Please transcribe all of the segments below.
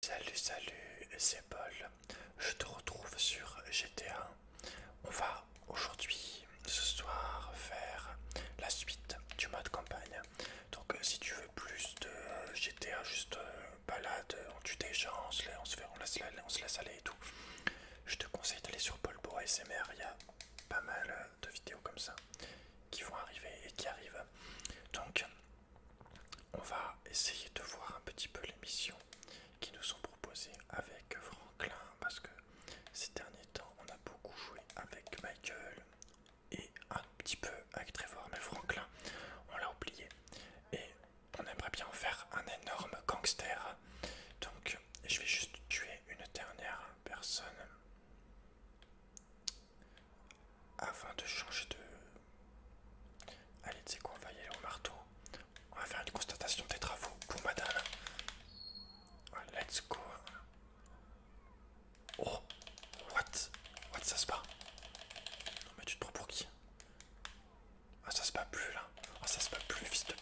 Salut, salut, c'est Paul. Je te retrouve sur GTA. On va aujourd'hui, ce soir, faire la suite du mode campagne. Donc, euh, si tu veux plus de euh, GTA, juste euh, balade, on tue des gens, on se, laisse, se laisse aller et tout, je te conseille d'aller sur Paul pour ASMR. Il y a pas mal de vidéos comme ça qui vont arriver et qui arrivent. Donc, on va essayer de voir un petit peu les missions qui nous sont proposées avec Franklin parce que ces derniers temps on a beaucoup joué avec Michael et un petit peu avec Trevor mais Franklin on l'a oublié et on aimerait bien en faire un énorme gangster donc je vais juste tuer une dernière personne avant de changer de... Allez, tu sais quoi, on va y aller au marteau. On va faire une constatation des travaux pour madame. Let's go. Oh, what What, ça se passe Non mais tu te prends pour qui Ah, ça se passe plus là. Ah, ça se passe plus, fils de...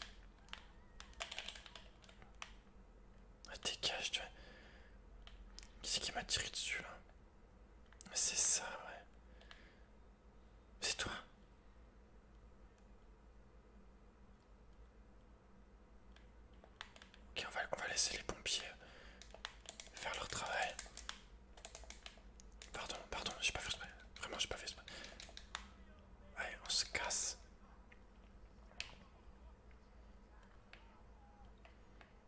Ah, dégage, tu vois. Qui c'est qui m'a tiré dessus là c'est ça, ouais. C'est toi. Ok, on va, on va laisser les pompiers euh, faire leur travail. Pardon, pardon, j'ai pas fait Vraiment, j'ai pas fait exprès. Allez, on se casse.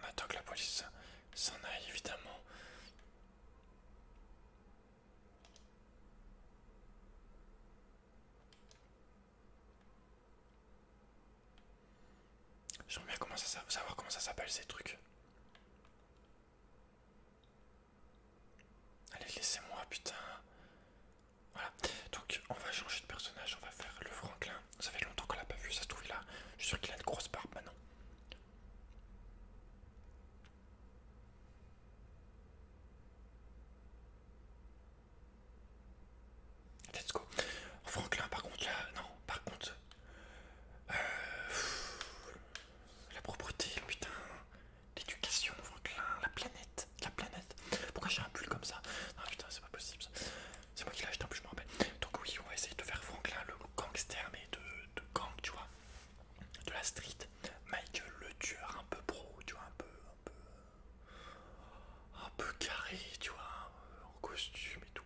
on attend que la police s'en aille évidemment. J'aimerais bien savoir comment ça s'appelle ces trucs. Allez, laissez-moi, putain. Voilà, donc on va changer de personnage, on va faire le Franklin. Ça fait longtemps qu'on l'a pas vu, ça se trouve là. Je suis sûr qu'il a une grosse barbe maintenant. Let's go. Franklin, par contre, non, par contre, euh, la propreté, putain, l'éducation, Franklin, la planète, la planète. Pourquoi j'ai un pull comme ça Non, putain, c'est pas possible ça. C'est moi qui l'ai acheté en plus, je me rappelle. Donc, oui, on va essayer de faire Franklin le gangster, mais de, de gang, tu vois, de la street. Michael le tueur, un peu pro, tu vois, un peu, un peu, un peu carré, tu vois, en costume et tout.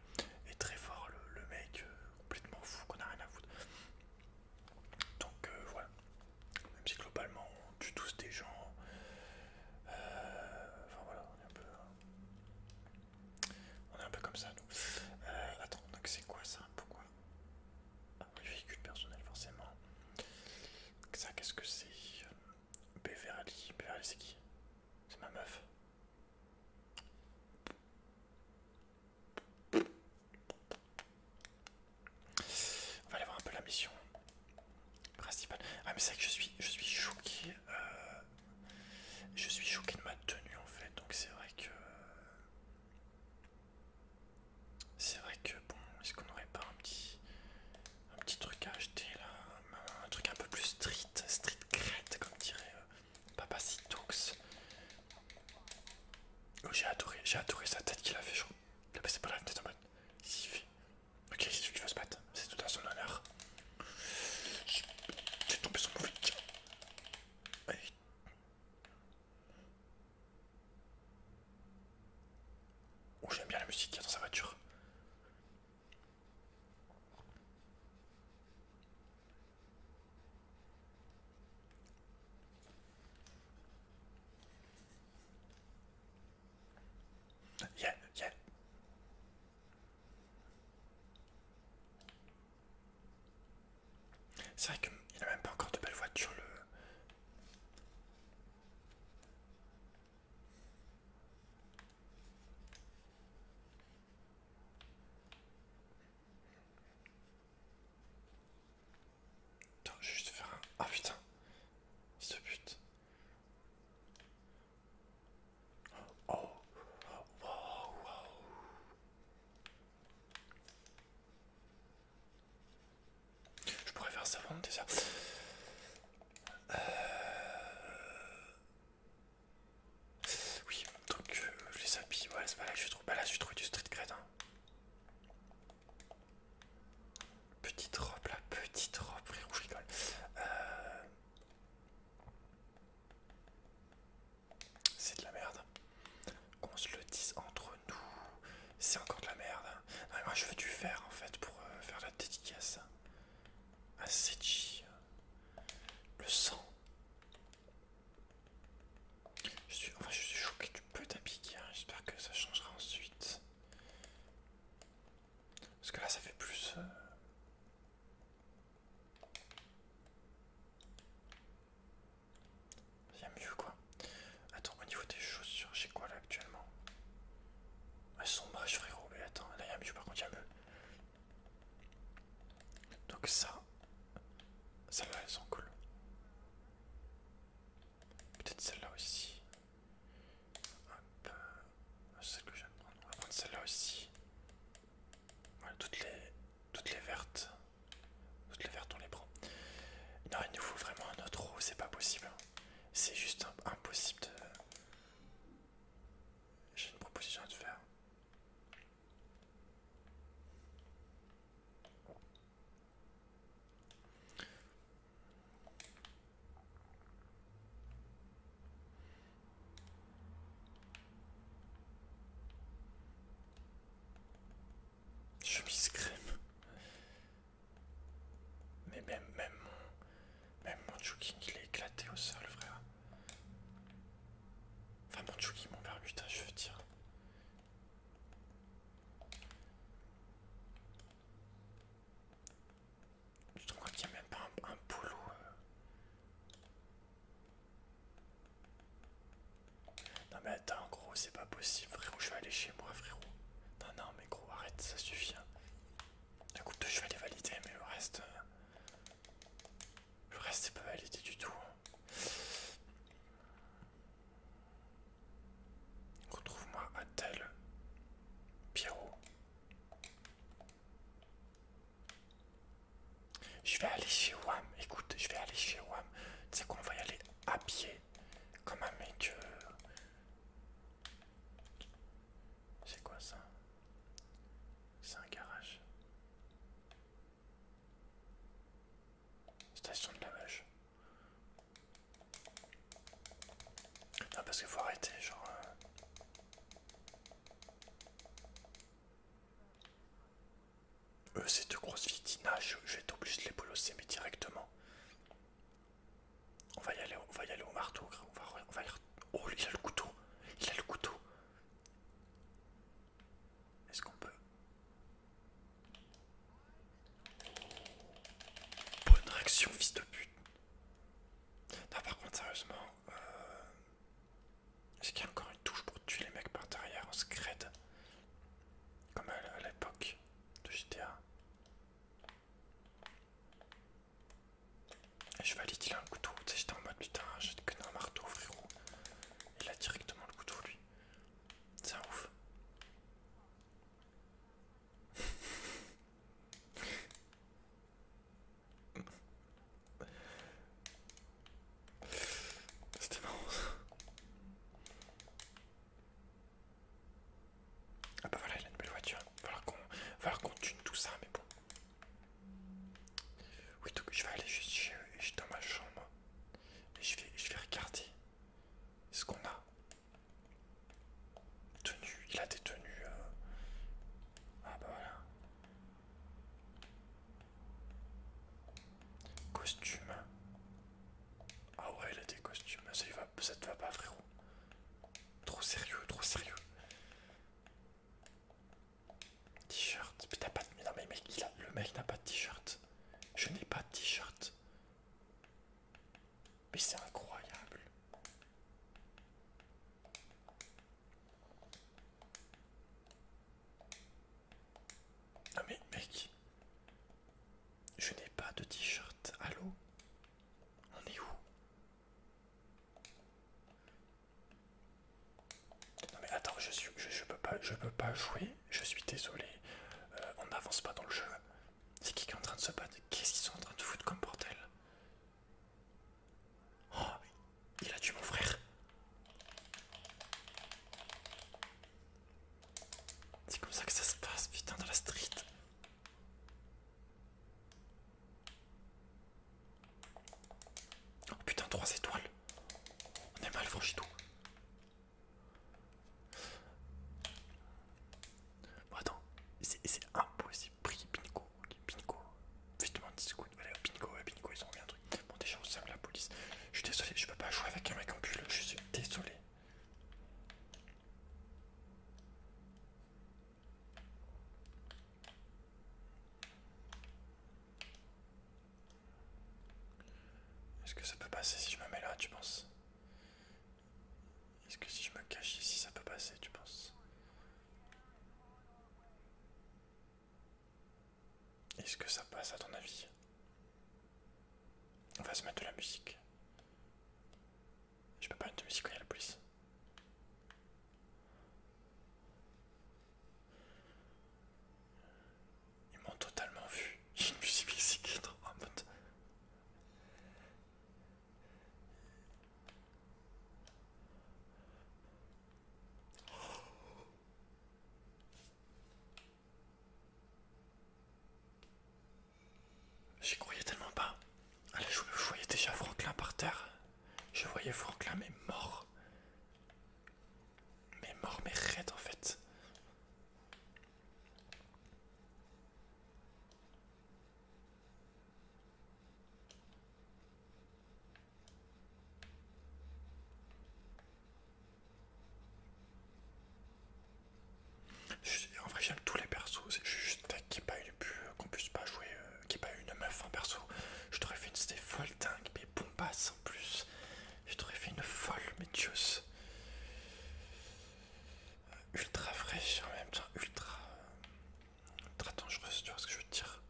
Et très fort, le, mec euh, complètement fou qu'on a rien à foutre. Donc, euh, voilà. Même si globalement on tue tous des gens. Euh, enfin voilà, on est un peu. Hein. On est un peu comme ça, nous. Euh, attends, donc c'est quoi ça Pourquoi ah, les véhicule personnel, forcément. Ça, qu'est-ce que c'est Beverly. Beverly, c'est qui C'est ma meuf. On va aller voir un peu la mission principale. Ah mais c'est vrai que je suis, je suis choqué euh, je suis choqué de ma tenue en fait, donc c'est vrai que. C'est vrai que bon, est-ce qu'on n'aurait pas un petit, truc à acheter là Un truc un peu plus street, street crête comme dirait euh, Papa Sitox. Oh, j'ai adoré, j'ai adoré sa tête qu'il a fait, je Il a ah, c'est pas la tête en mode. S'il fait. Ok, tu faut se battre, c'est tout à son honneur. J'ai tombé sur le véhicule. Oh, j'aime bien la musique qui y a dans sa voiture. Yeah, yeah. C'est vrai qu'il n'a même pas encore de belles voitures le. Attends, je vais juste faire un. Ah putain! Ce but. Oh, wow, wow. Je pourrais faire ça avant déjà. Euh... Oui, donc je euh, les habille. voilà, c'est pas là que je trouve. Bah là, je trouvé du street cred. Hein. Petite robe là, petite robe, frérot, je rigole. Euh c'est de la merde. Qu'on se le dise entre nous, c'est encore de la merde. Non, moi je veux du fer, en fait pour euh, faire la dédicace à Sechi. Le sang. Je suis, enfin, je suis choqué du peu ta J'espère que ça changera ensuite. Parce que là ça fait plus. Euh, il y a mieux quoi. Attends, au niveau des chaussures, j'ai quoi là actuellement Elles sont moches frérot, mais attends, là il y a mieux par contre, il y a mieux. Donc ça, celle là elles sont cool. Peut-être celle-là aussi. Hop, euh, celle que j'aime prendre. On va prendre celle-là aussi toutes les, toutes les vertes. Toutes les vertes, on les prend. Non, il nous faut vraiment un autre c'est pas possible. C'est juste impossible de... J'ai une proposition à te faire. Chemise crème. Mais même, même, mon, même mon jogging, il est éclaté au sol, frère. Enfin, mon jogging, mon bermuda, je veux dire. Je crois qu'il n'y a même pas un, boulot euh, non mais attends gros c'est pas possible frérot je vais aller chez moi frérot Non non mais gros arrête ça suffit coup hein. Écoute je vais les valider mais le reste euh, Le reste c'est pas validé du tout hein. Retrouve-moi à tel Pierrot je vais aller chez WAM. Écoute, je vais aller chez WAM. Tu sais qu'on va y aller à pied. Comme un mec. Euh, C'est quoi ça C'est un garage. Station de lavage. Non, parce qu'il faut arrêter, genre. Euh. Eux, c'est de grosses filles je vais être obligé de les bolosser, mais directement. On va y aller, on va y aller au marteau, va, Oh, il a le couteau Il a le couteau Est-ce qu'on peut... Bonne réaction, fils de pute Non, par contre, sérieusement... Euh... Est-ce qu'il y a encore une touche pour tuer les mecs par derrière en scred Comme à l'époque de GTA. je valide, il a un couteau. Tu sais, j'étais en mode putain, j'ai que un marteau, frérot. Il a directement le couteau, lui. C'est un ouf. C'était marrant Ah bah voilà, il a une belle voiture. Falloir qu'on tue tune tout ça, mais bon. Oui, donc je vais aller juste chez eux et je suis dans ma chambre. Et je vais, je vais regarder ce qu'on a. Tenue, il a des tenues. Euh. Ah bah voilà. Costume. Ah ouais, il a des costumes. Ça, va, te va pas, frérot. Trop sérieux, trop sérieux. T-shirt. Mais Mais mais il a... le mec n'a pas de t-shirt. Je n'ai pas de t-shirt. Mais c'est incroyable. Ah mais mec, je n'ai pas de t-shirt. Allô On est où Non mais attends, je suis, je, peux pas, je peux pas jouer. Je suis désolé. Euh, on n'avance pas dans le jeu. C'est qui qui est en train de se battre Qu'est-ce qu'ils sont en train de foutre comme bordel oh, il a tué mon frère. C'est comme ça que ça se passe, putain, dans la street. Oh putain, trois étoiles. On est mal franchi tout. attends, c'est impossible. Bingo, Pinko. Ok, Pinko. Vite, mon discours Allez, au Pingo, ils ont un truc. Bon, déjà, on sème la police. Je suis désolé, je peux pas jouer avec un mec en pull. Je suis désolé. Est-ce que ça peut passer si je me mets là, tu penses Est-ce que si je me cache ici, ça peut passer, tu penses est-ce que ça passe à ton avis On va se mettre de la musique. Je peux pas mettre de musique quand il y a la police. Ils m'ont totalement vu. J'ai une musique ici qui est en J'y croyais tellement pas. je voyais déjà Franklin par terre. Je voyais Franklin mais mort. Mais mort, mais raide en fait. En vrai, j'aime tous les persos. c'est juste qu'il n'y ait pas eu but, qu'on puisse pas jouer, euh, qui qu'il pas eu une meuf en perso. Je t'aurais fait une c'était folle dingue, mais bombasse passe en plus. Je t'aurais fait une folle, mais euh, Ultra fraîche en même temps, ultra, ultra dangereuse, tu vois ce que je veux dire.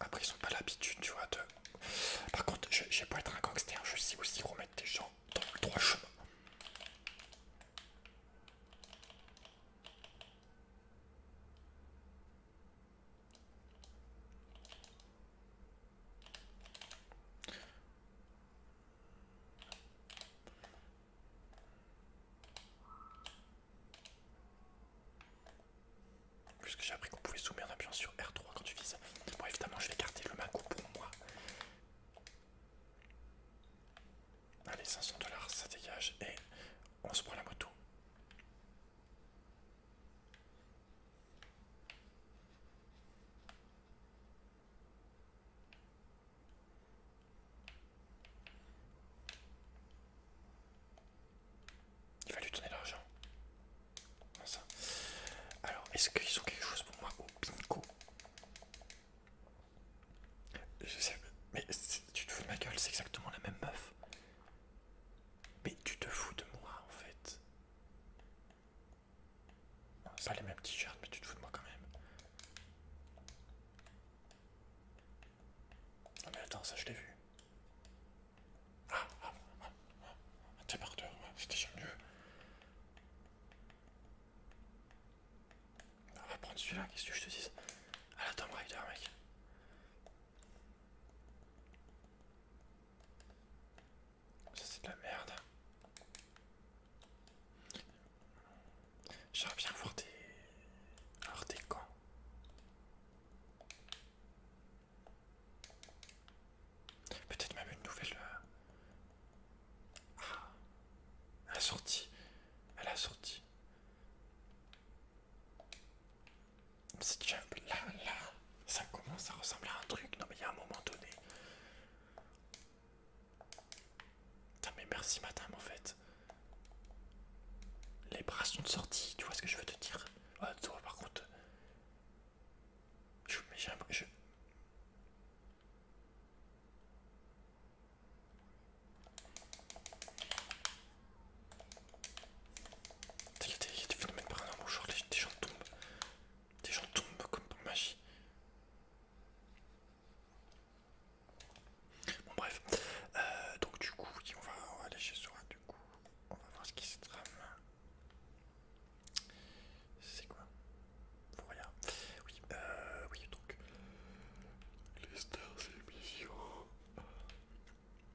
Après, ils ont pas l'habitude, tu vois, de. Par contre, je, vais pas être un gangster, je sais aussi remettre des gens dans le droit chemin. Puisque j'ai appris qu'on pouvait zoomer en appuyant sur R3 quand tu vises. Bon, évidemment, je vais garder le Macbook pour moi. Allez, 500 dollars, ça dégage et on se prend la moto. Il va lui donner l'argent. Alors, est-ce qu'ils ont quelque chose pour moi au Pinko Je sais, mais tu te fous de ma gueule, c'est exactement la même meuf. Mais tu te fous de moi en fait. Ça pas les mêmes t-shirts, mais tu te fous de moi quand même. Non mais attends, ça je l'ai vu. Ah, ah, ah, ah, ah un débardeur, c'était déjà mieux. On va prendre celui-là, qu'est-ce que je te dis À ah, la Tomb Raider, mec. Ça c'est de la merde. J'aimerais bien voir des... voir des camps. Peut-être même une nouvelle... Euh, ah À la sortie. À la sortie. Si tu là, là, ça commence à ressembler à un truc. Non, mais il y a un moment donné. mais merci, madame, en fait. Les bras sont sortie tu vois ce que je veux te dire. Ah, toi, par contre. j'ai un. Je... Il y a des, phénomènes paranormaux, genre des gens tombent. Des gens tombent comme par magie. Bon bref, euh, donc du coup, on va, aller chez Sora, du coup, on va voir ce qui se trame. C'est quoi Faut rien. Oui, euh, oui, donc... Les stars émissions.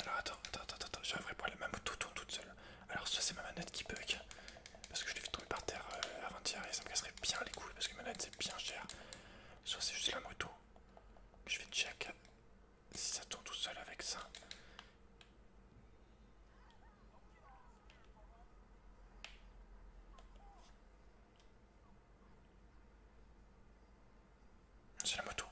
Alors attends, attends, attends, attends, j'ai un vrai problème, ma moto tourne toute seule. Alors soit c'est ma manette qui bug, parce que je l'ai fait tomber par terre euh, avant-hier et ça me casserait bien les couilles, parce que ma manette c'est bien cher. Soit c'est juste la moto. Je vais check si ça tourne tout seul avec ça. C'est la moto.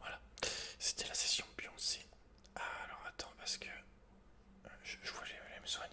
Voilà, c'était la session bioncée. Ah, alors attends, parce que euh, je, je voulais me soigner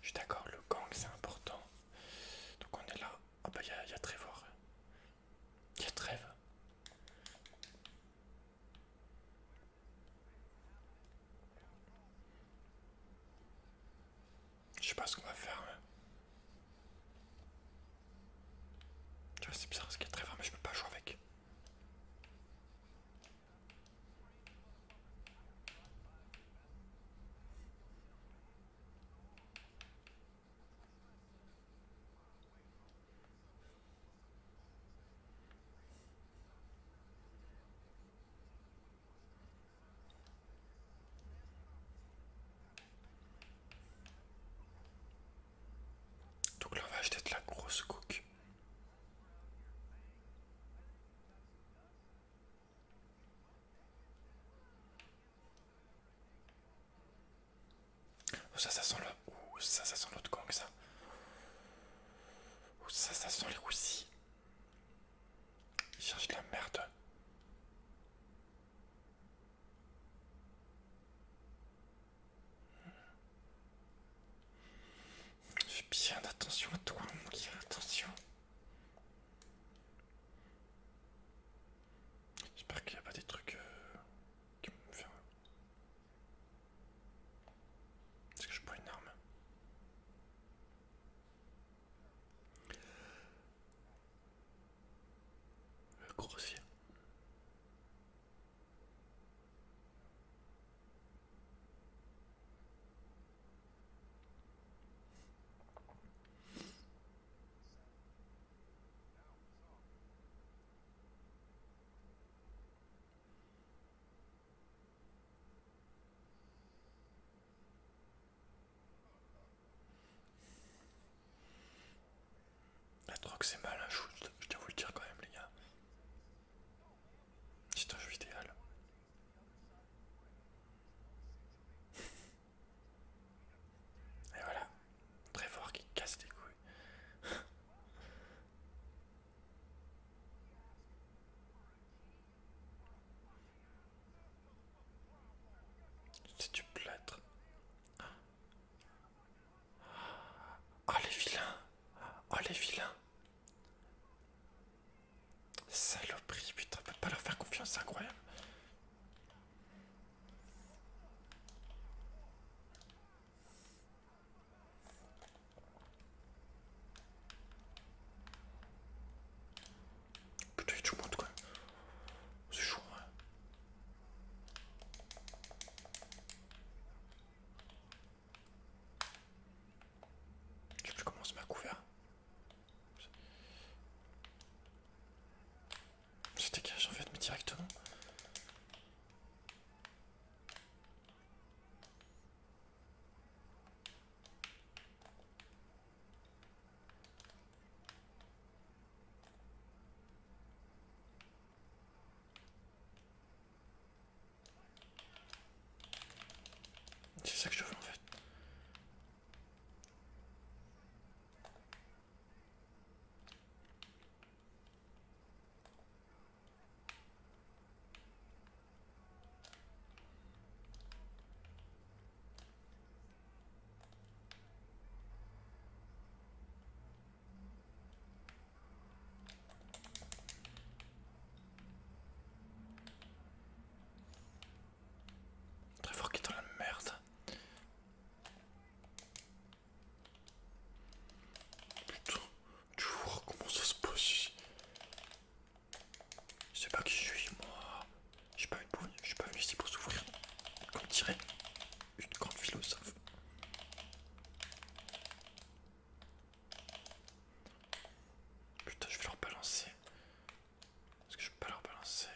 Je suis d'accord, le gang c'est important. Donc on est là. Ah bah il y a, y Trevor. Il y a Trêve. Je sais pas ce qu'on va faire. Hein. Tu vois, c'est bizarre parce qu'il y a Trevor, mais je peux pas jouer avec. Donc là, on va acheter la grosse coque. Oh, ça, ça sent là. Le... ça, ça sent l'autre que ça. Oh, ça, ça sent les roussis. Ils cherchent de la merde. Fais bien attention à toi, mon attention. J'espère qu'il n'y a pas des trucs euh, qui me faire. Est-ce que je prends une arme Le grossier. La drogue c'est mal, un hein. je, je, dois vous le dire quand même les gars. C'est un jeu idéal. Et voilà, très fort qui casse les couilles. C'est du plâtre. Ah les vilains ah les vilains Saloperie, putain, on peut pas leur faire confiance, c'est incroyable. Putain, il y a Je monde C'est chaud, ouais. Hein. Je sais plus comment on se met à couvert. Je dégage en fait, mais directement. C'est ça que je veux en fait. Très fort qui est dans la merde. Putain, tu vois comment ça se passe Je sais pas qui je suis, moi. Je suis pas, une... je suis pas venu ici pour s'ouvrir, Comme dirait une grande philosophe. Putain, je vais leur balancer. est que je peux pas leur balancer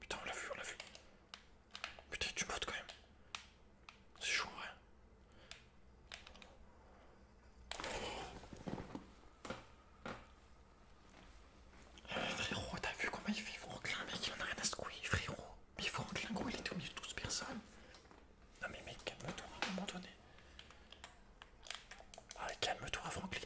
Putain, on l'a vu, on l'a vu. Putain, tu portes quand même. C'est chaud, ouais. Euh, frérot, t'as vu comment il fait Franklin, mec, il en a rien à se couiller, frérot. Mais Franklin, gros, il était au milieu de 12 personnes. Non, mais mec, calme-toi à un moment donné. Ah, calme-toi, Franklin.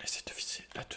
On essaie de viser la 2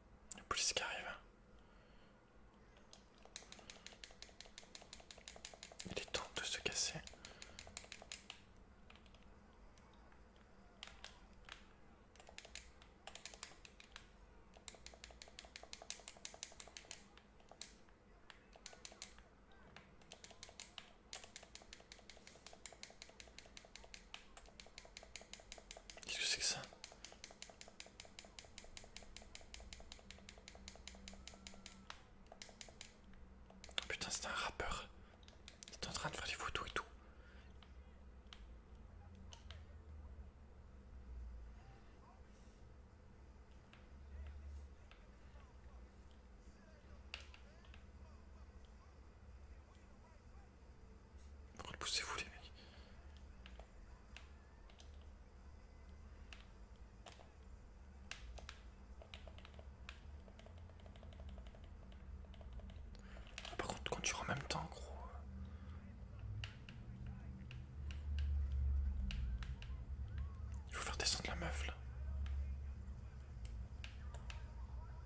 Plus ce qui arrive. Il est temps de se casser. Qu'est-ce que c'est que ça oh Putain, c'est un rappeur. Il est en train de faire des photos et tout. Repoussez-vous les mecs. Ah, par contre, quand tu en même temps, gros. Il faut faire descendre la meuf là.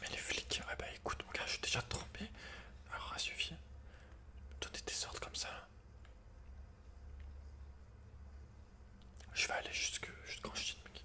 met les flics, ouais eh bah ben, écoute mon gars, je suis déjà trompé, alors ça suffit. Donner des ordres comme ça. Je vais aller jusque jusqu'en Chine mec.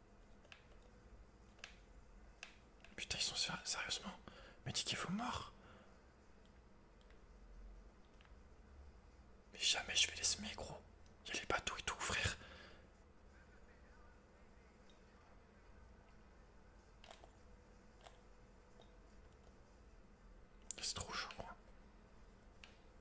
Putain, ils sont sérieusement. Mais dis qu'il faut mort. Mais jamais je vais les semer, gros. Il y a les bateaux et tout, frère. C'est trop chaud,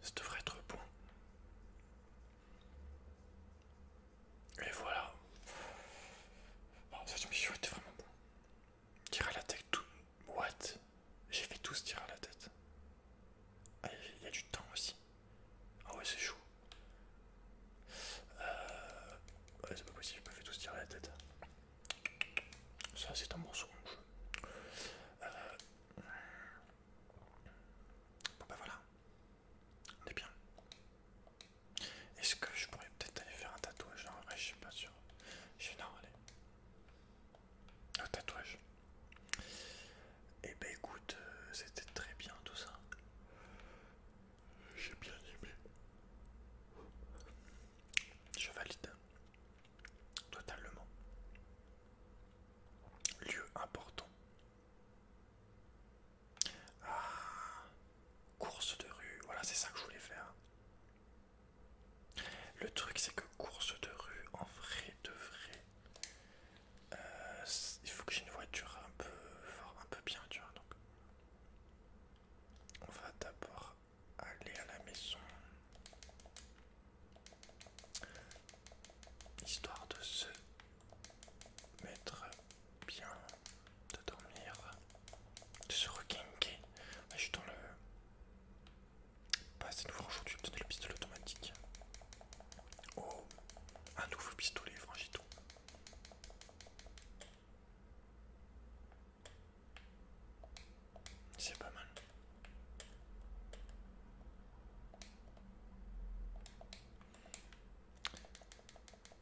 Ce devrait être bon. Et voilà. Bon, cette mission était vraiment bon. Tirer à la tête, tout. What J'ai fait tous tirer à la tête. Ah, il y a du temps aussi. Ah ouais, c'est chaud. Euh... Ouais, c'est pas possible, j'ai pas fait tous tirer à la tête. Ça, c'est un morceau. Euh... Bon, bah voilà. On est bien. Est-ce que je pourrais peut-être aller faire un tatouage je ne je suis pas sûr. non, allez. Un tatouage. Et eh ben écoute, euh, c'était très bien tout ça. J'ai bien aimé. Je valide. Totalement. Lieu important. Ah, course de rue, voilà c'est ça que je voulais faire. Le truc c'est que course de rue, en vrai de vrai, euh, il faut que j'ai une voiture un peu, un peu bien, tu vois. Donc, on va d'abord aller à la maison, histoire de ce mettre bien de dormir, de se requinquer. je suis dans le. Pas bah, assez nouveau franchement du le pistolet automatique. Oh, un nouveau pistolet, franchito C'est pas mal.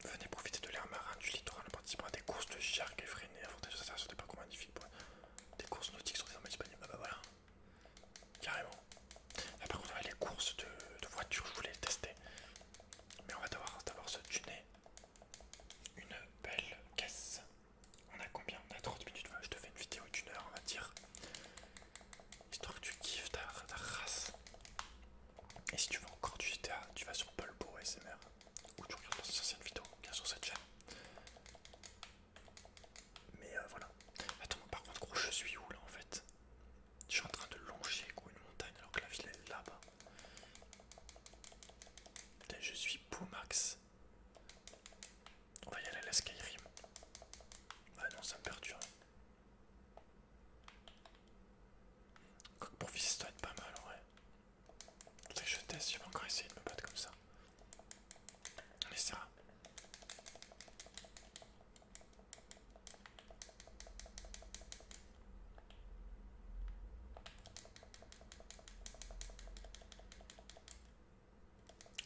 Venez profiter de l'air marin du littoral en participant à des courses de jarques effrénées, sur des parcours magnifiques. Des courses nautiques sont des disponibles. Ah bah voilà, carrément. Après par contre, on a les courses de, voitures, je voulais les tester. Mais on va devoir d'abord se tuner une belle caisse. On a combien On a 30 minutes. je te fais une vidéo d'une heure, on va dire. Histoire que tu kiffes ta, race. Et si tu veux encore du GTA, tu vas sur Polbo ASMR ou tu regardes ces anciennes vidéos qu'il y sur cette chaîne. Mais euh, voilà. Attends, par contre, gros, je suis où là en fait Je suis en train de longer une montagne alors que la ville est là-bas. Je suis Max On va y aller à la Skyrim. Ah non, ça me perturbe. Quoique pour fils, ça doit être pas mal en vrai. je teste, je vais encore essayer de me battre comme ça. ça va.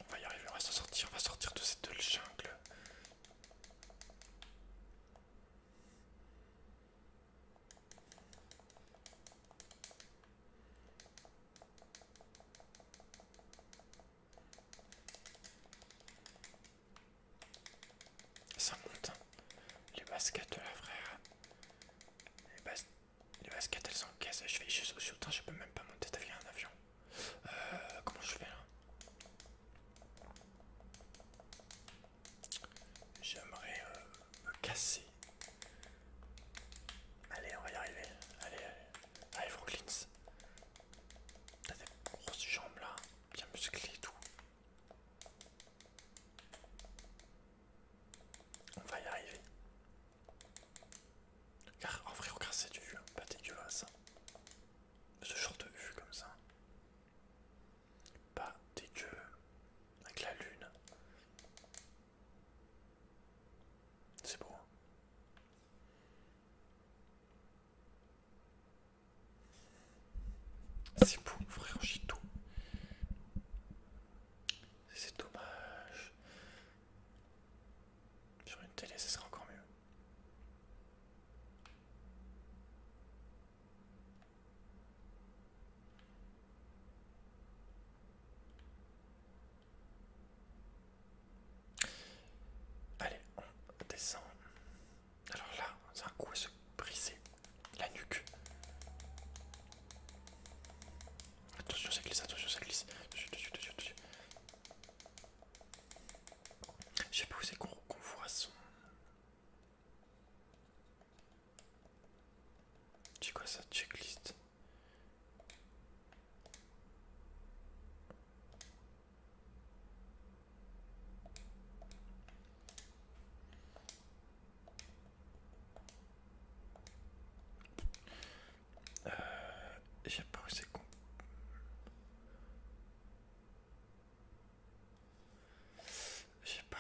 On va y arriver, on va s'en sortir, on va sortir de cette jungle ça monte. Hein. les baskets de la frère. Les, baskets elles sont cassées. Je fais juste au je peux même pas monter d'avion un avion. Euh, comment je fais là J'aimerais euh, me casser. Allez, on va y arriver. Allez, allez. Allez, Franklin. T'as des grosses jambes là, bien musclées et tout. On va y arriver. en vrai, regarde, c'est du vieux, pas ça ce genre de vue comme ça. Pas des dieux avec la lune. C'est beau. Hein. C'est beau, frère tout. C'est dommage. Sur une télé, ce sera encore mieux. Allez, on descend. Alors là, c'est un coup à se briser la nuque. Attention, ça glisse, attention, ça glisse. J'ai sais pas où c'est qu'on voit son. ça, checklist euh, pas je pas.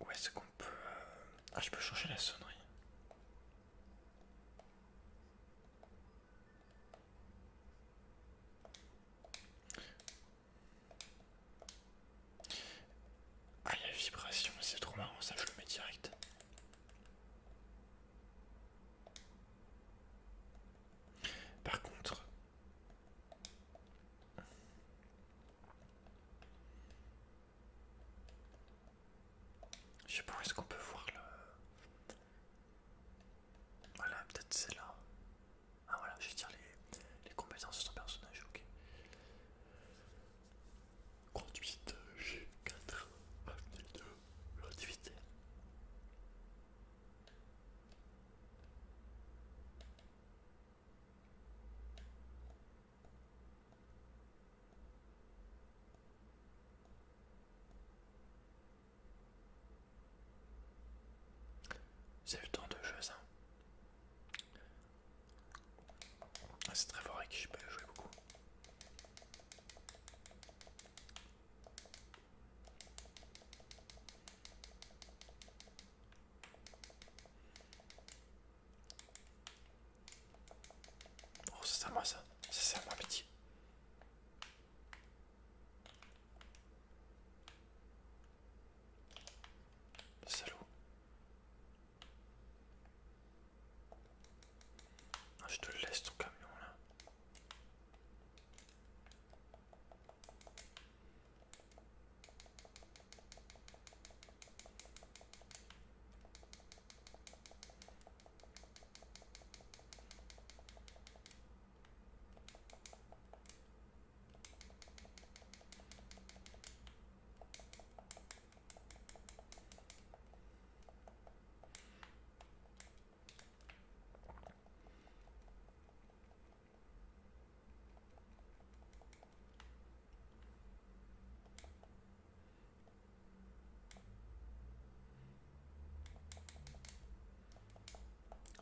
Où est-ce qu'on peut... Euh, ah, je peux changer la sonnerie. Ah, il y a vibration, c'est trop marrant, ça je le mets direct. Par contre, je sais pas où est-ce qu'on peut voir le. Voilà, peut-être c'est là. Ah voilà, je tire les, les compétences de son personnage, ok. Conduite G4, l'activité. C'est le temps de jeu ah, C'est très fort et je peux jouer beaucoup. Oh, c'est à moi ça, c'est à moi petit. Salaud. Ah, je te laisse ton camion là.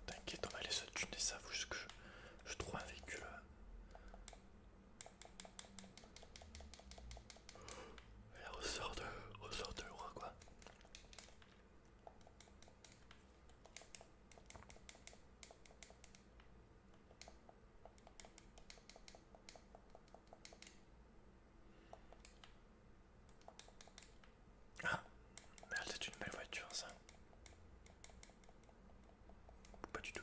T'inquiète, on va aller se tuner ça, vous que je trouve un véhicule au ressort de, ressort de quoi. Ah, c'est une belle voiture ça. Pas du tout.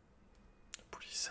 La police.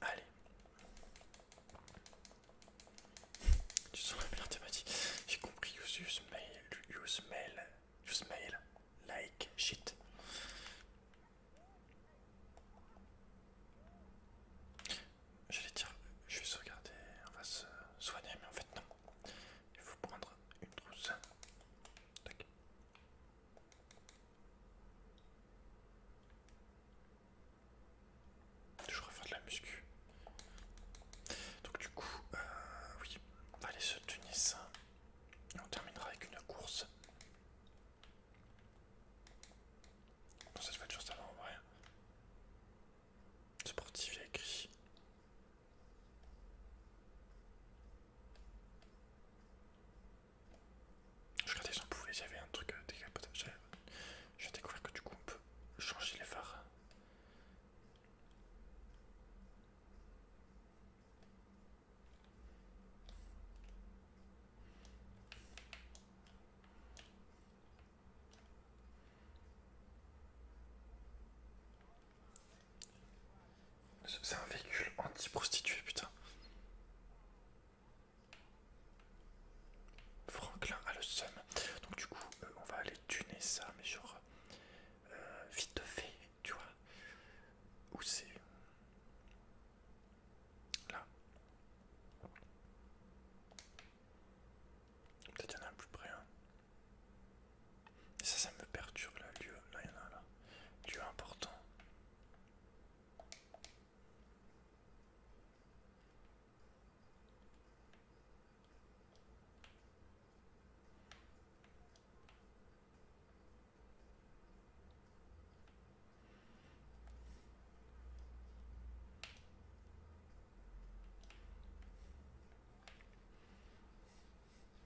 Allez. Tu sens la J'ai compris. Use, mail. Use mail. Use mail. Like shit. je vais dire, je vais se regarder, on va se soigner, mais en fait non il faut prendre une trousse. Toujours à faire de la muscu. Donc du coup, euh, on va aller se Tunis. on terminera avec une course. se fait toujours ça va en vrai. Sportif il a écrit je regardais si pouvait, un truc euh, décapotage. J'ai découvert que du coup on peut changer les phares. C'est un véhicule anti prostitué putain. Franklin a le seum. Donc du coup, euh, on va aller tuner ça, mais genre euh, vite fait, tu vois. Où c'est Là. Peut-être y en a un plus près. Hein. Ça, ça me perturbe là, lieu. Là, il y en a là. Lieu important.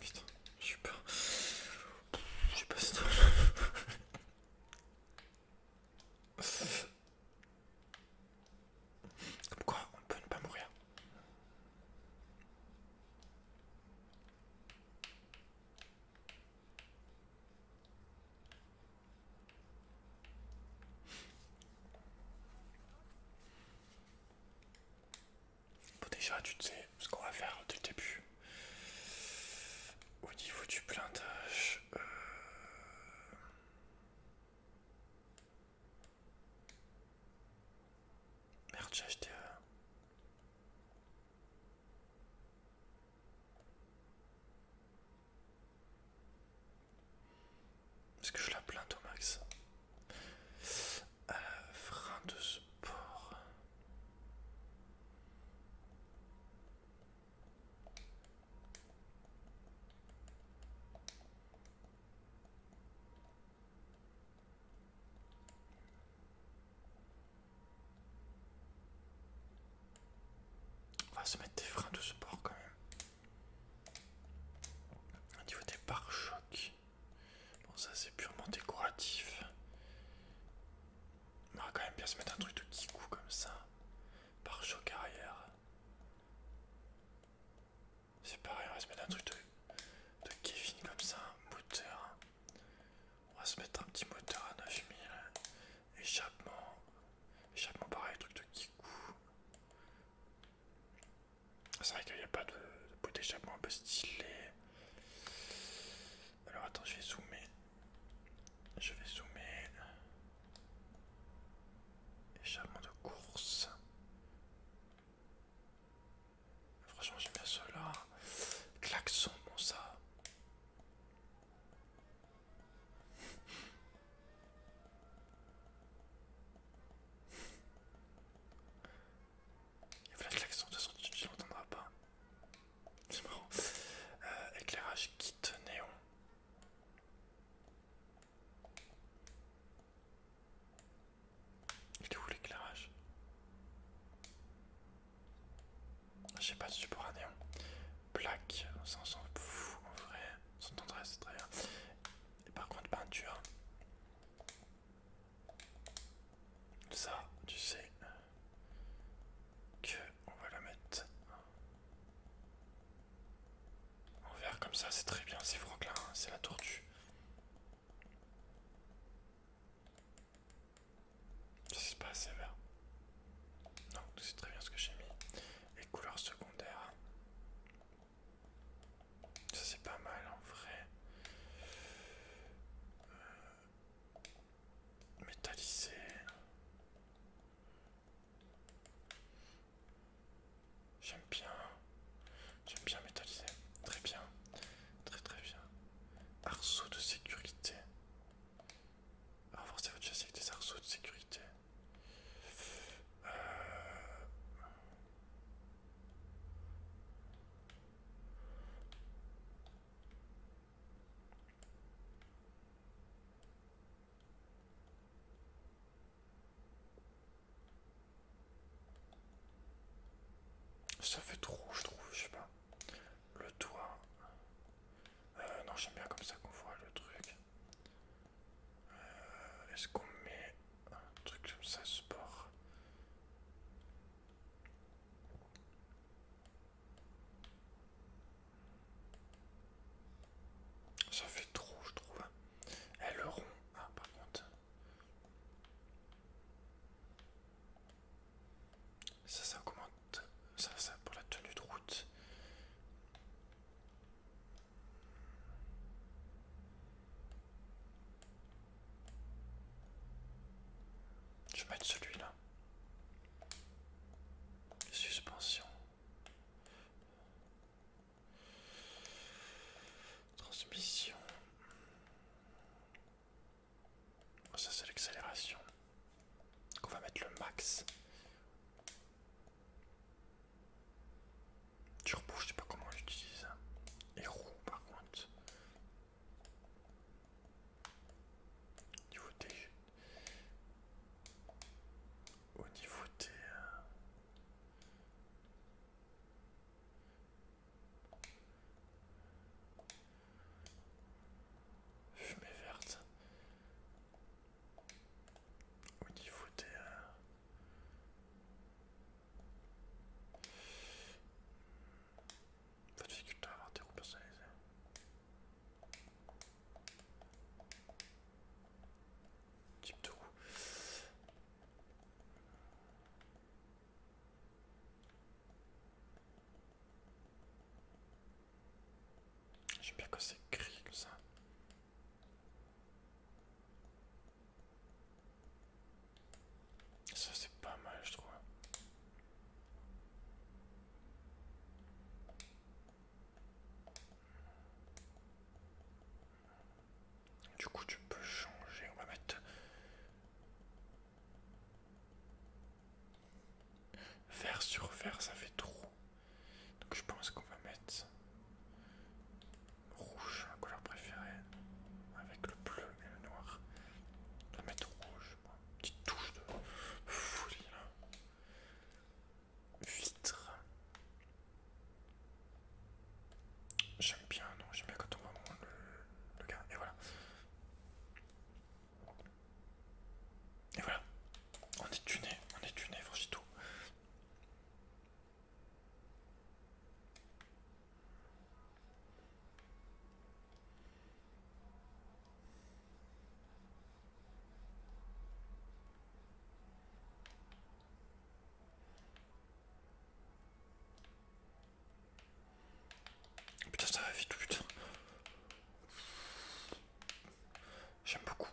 Putain, je suis pas... Je sais pas si Comme quoi, on peut ne pas mourir. Bon, déjà, tu sais ce qu'on va faire au début. Au niveau du blindage. Euh, merde, j'ai acheté. Euh, est-ce que je la plainte au max Frein de sport. On va se mettre des freins de sport quand même. Au niveau des pare-chocs. Bon ça c'est purement décoratif. On va quand même bien se mettre un truc de petit comme ça. Pare-choc arrière. C'est pareil, on va se mettre un truc de, de Kevin comme ça, moteur. On va se mettre un petit moteur à 9000. Échappement. Échappement pareil, truc de Kikou. C'est vrai qu'il n'y a pas de, bout d'échappement un peu stylé. Alors attends, je vais zoomer. Je vais zoomer. Échappement de course. Franchement, j'aime bien cela. Klaxon, bon ça. Il y a la question de sortie, tu ne l'entendras pas. C'est marrant. Euh, éclairage kit néon. Il est où l'éclairage je sais pas si tu pourras néon. Plaque, ça on s'en en vrai. sans tendresse, c'est très bien. par contre, peinture. Ça, tu sais que on va la mettre en vert comme ça, c'est très bien. C'est là, hein, c'est la tortue. C'est pas assez vert. Non, c'est très bien ce que j'ai mis. Les couleurs secondaires, Ça c'est pas mal en vrai. Euh, métallisé. J'aime bien. J'aime bien métallisé. Très bien. Très très bien. Arceau de sécurité. Renforcez votre châssis avec des arceaux de sécurité. Euh, ça fait trop, je trouve, je sais pas le toit. Euh, non, j'aime bien comme ça qu'on voit le truc. Euh, est-ce qu'on met un truc comme ça, sport Ça fait trop, je trouve. Et hein. eh, le rond, ah, par contre. Ça, ça augmente ça, ça pour la tenue de route. Je vais mettre celui-là. Suspension. Transmission. Ça c'est l'accélération. On va mettre le max. Turbo, je sais pas comment j'utilise. ça. Hein. Et par contre. Niveau T. Au niveau T. Euh, Fumée verte. Au niveau des... Euh... Pas de difficulté à avoir des roues personnalisées. Type de roue. J'aime bien que c'est gris ça. Ça c'est pas mal je trouve. Du coup tu peux changer, on va mettre Vert sur vert, ça fait trop. Donc je pense qu'on va mettre rouge, ma couleur préférée, avec le bleu et le noir. On va mettre rouge, petite touche de folie là. Vitre. J'aime bien, non, j'aime bien quand on voit le, le gars, et voilà. Et voilà, on est tuné, on est tuné, voici tout. Putain, ça va vite, putain. J'aime beaucoup.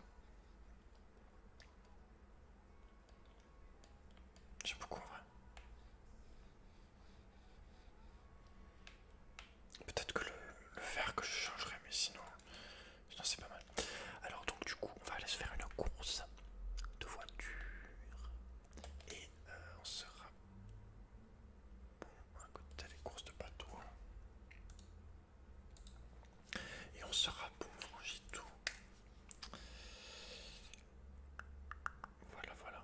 J'aime beaucoup en vrai. Peut-être que le, vert que je changerai, mais sinon, c'est pas mal. Alors, donc, du coup, on va aller se faire une course de voiture et euh, on sera Bon, écoutez, les courses de bateau. Hein. Et on sera pauvre, j'ai tout. Voilà, voilà.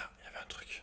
Ah, il y avait un truc.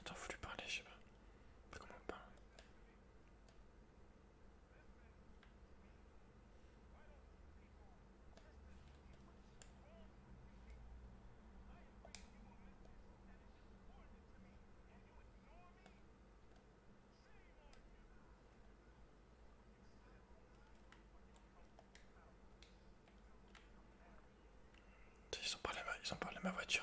Attends, faut lui parler, je sais pas. Pas comment on parle. Ils ont parlé ils ont parlé ma voiture.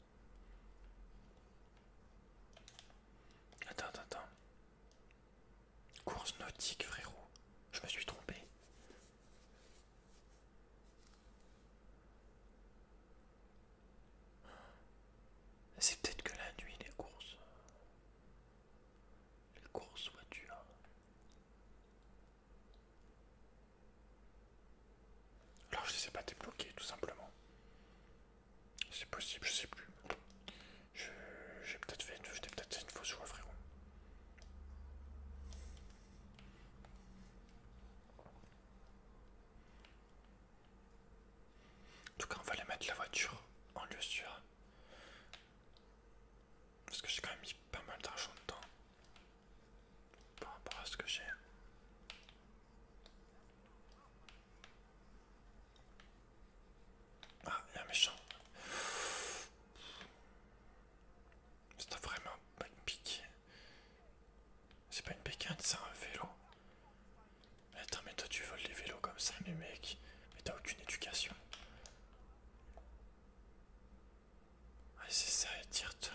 Attends, attends, attends. Course nautique, frérot. Je me suis trompé. C'est peut-être que la nuit, les courses. Les courses voitures. Alors je les ai pas débloqués tout simplement. C'est possible, je sais plus. J'ai peut-être fait, une fausse joie frérot. En tout cas on va aller mettre la voiture en lieu sûr. Parce que j'ai quand même mis pas mal d'argent dedans par rapport à ce que j'ai. Ah, il y a un méchant. C'est vraiment pas une pique. C'est pas une bécane, c'est un vélo. Mais attends, mais toi tu voles les vélos comme ça, mais mec, mais t'as aucune éducation. Ah, c'est ça, tire-toi.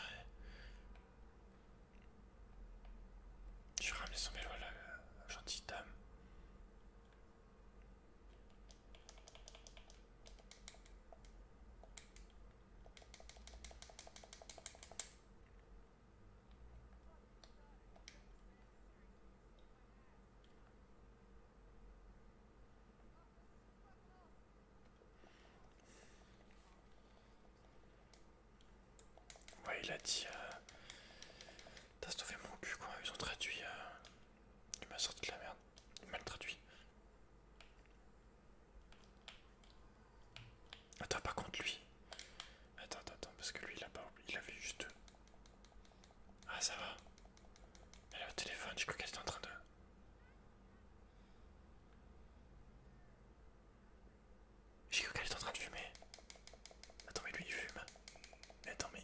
Je ramène son vélo à la gentille dame. Ouais, il a dit. Euh... T'as sauvé mon cul, quoi. Ils ont traduit. Euh... Il m'a sorti de la merde. Il m'a traduit. Attends, par contre, lui. Attends, attends, parce que lui, il a pas. Il avait juste Ah, ça va. Elle a le téléphone, je crois qu'elle était en train de. J'ai cru qu'elle est en train de fumer. Attends, mais lui il fume. Mais attends, mais.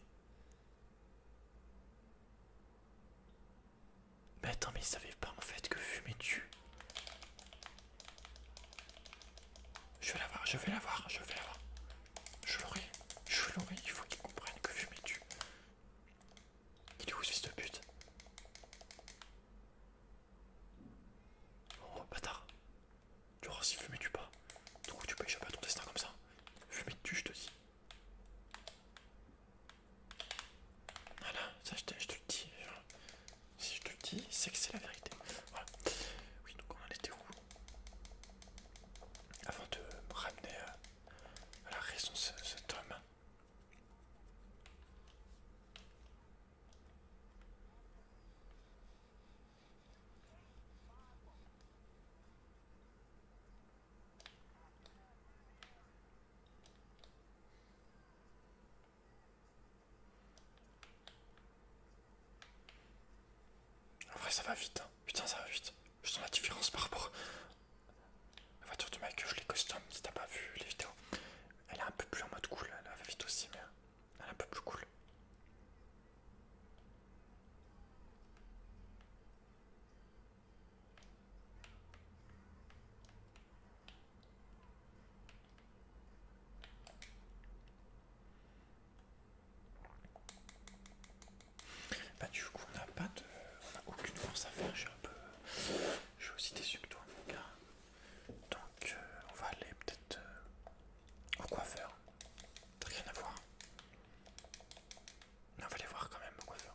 Mais attends, mais il savait pas en fait que fumer tu. Je vais la voir, je vais la voir, je vais la voir. Je l'aurai, je l'aurai, il faut qu'il comprenne que fumer tu. Il est où ce fils de pute Oh bâtard Tu vois si fumer tu pas. Donc tu peux échapper à ton destin comme ça. Fumé tu je te dis. Voilà, ça je te, je dis. Hein. Si je te dis, c'est que c'est la vérité. Oui, donc on allait était où Avant de ramener à la raison cet homme en vrai, ça va vite, hein. putain, ça va vite. Je sens la différence par rapport à la voiture de que je les custom. Si t'as pas vu les vidéos, elle est un peu plus en mode cool, elle va vite aussi, mais elle est un peu plus cool. Bah du coup on a pas de. on a aucune force à faire, je suis un peu. Je suis aussi déçu que toi mon gars. Donc euh, on va aller peut-être euh, au coiffeur. rien à voir. on va aller voir quand même au coiffeur.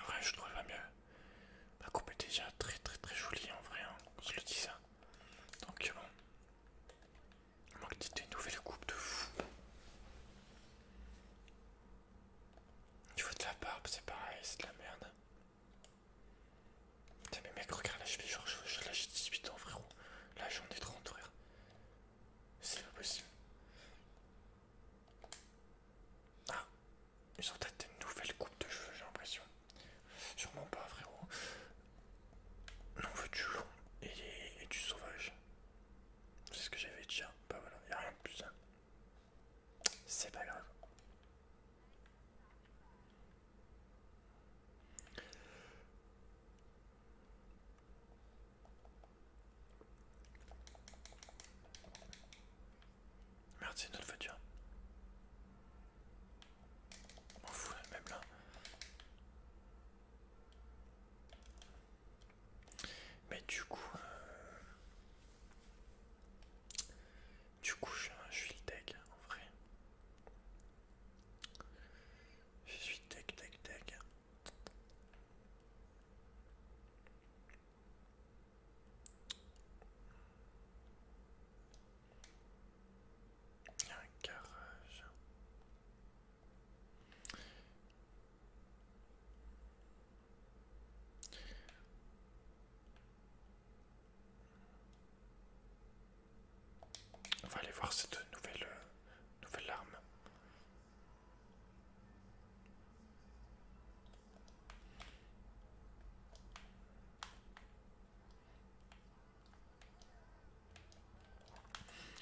En vrai, je trouve pas mieux. La coupe est déjà très très très jolie en vrai, hein, je le dis ça. Donc euh, bon. Il manque une nouvelle coupe de fou. Il faut de la barbe, c'est pareil, c'est de la merde. Putain mais mec regarde là je fais genre je, je, là j'ai 18 ans frérot. Là j'en ai 30 frère. C'est pas possible. Ah, ils ont peut-être une nouvelle coupe de cheveux, j'ai l'impression. Sûrement pas, frérot. Non, on veut du long et, du sauvage. C'est ce que j'avais déjà. Hein. Bah voilà, y a rien de plus. C'est pas grave. Merde, c'est une autre voiture. On fout, même là. Mais du coup, euh, du coup, je suis le deck en vrai. Je suis tac tac tac. Il y a un garage. On va aller voir cette nouvelle, euh, nouvelle arme.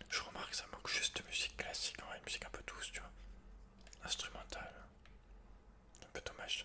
Je remarque que ça manque juste de musique classique, une musique un peu douce, tu vois. Instrumentale. Un peu dommage.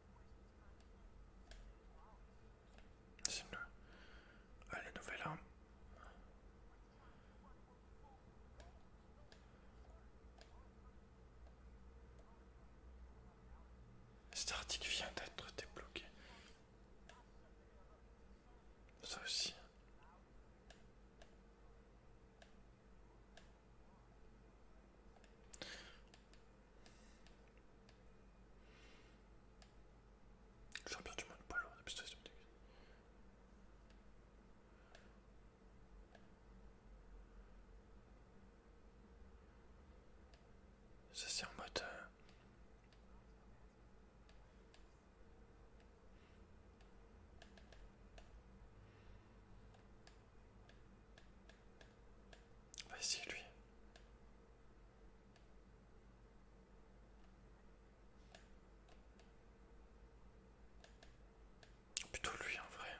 C'est le nouvelle arme. Cet article vient d'être débloqué. Ça aussi. Champion du monde pas un Ça c'est en mode. Euh, Vas-y, ah, lui. Plutôt lui en vrai.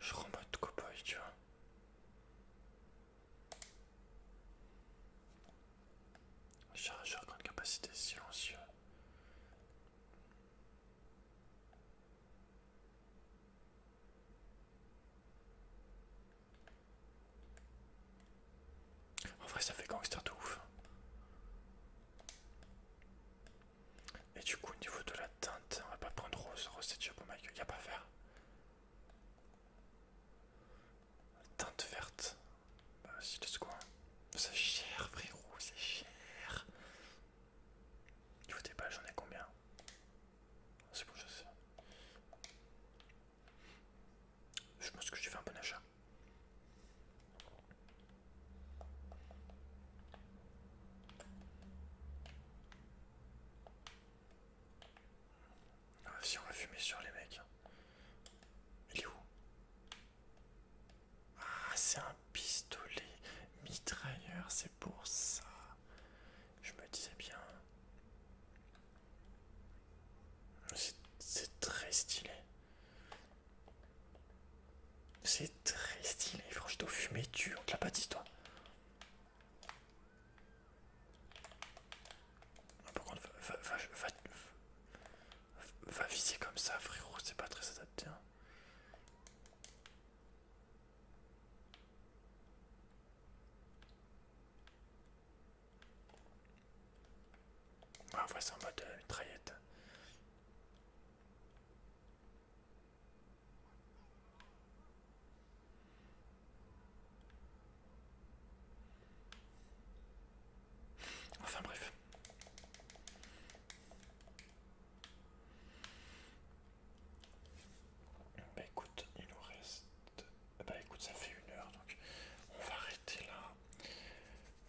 Je rends mode tu vois. Chargeur grande capacité silencieux. En vrai, ça fait gangster de ouf. Et du coup, au niveau de la teinte, on va pas prendre rose. Rose, c'est déjà pas, ma y a pas faire. Teinte verte. Bah, si, ce coin, C'est cher, frérot, c'est cher. Il faut des balles, j'en ai combien c'est je sais. Je pense que j'ai fait un bon achat. Ah, si on va fumer sur les mecs. Hein. Il est où Ah, c'est un pistolet mitrailleur, c'est pour ça. Je me disais bien. C'est très stylé. C'est très stylé. Franchement, fumé tu, on l'a pas toi. Ah, par contre, va, viser comme ça, frérot, c'est pas très adapté. Hein. Ah, on va en mode euh, Enfin bref. Bah écoute, il nous reste. Bah écoute, ça fait une heure donc on va arrêter là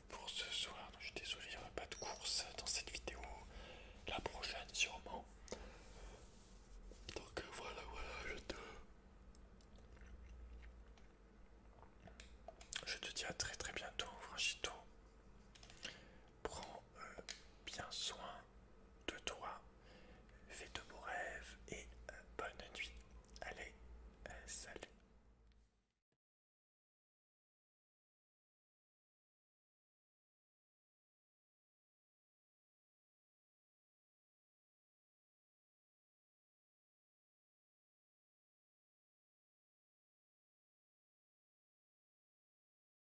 pour ce soir. je suis désolé, il n'y aura pas de course dans cette vidéo. La prochaine, sûrement. Donc euh, voilà, voilà, je te. Je te dis à très très bientôt, Franchito. Prends euh, bien soin de toi. Fais de beaux rêves et euh, bonne nuit. Allez, euh, salut.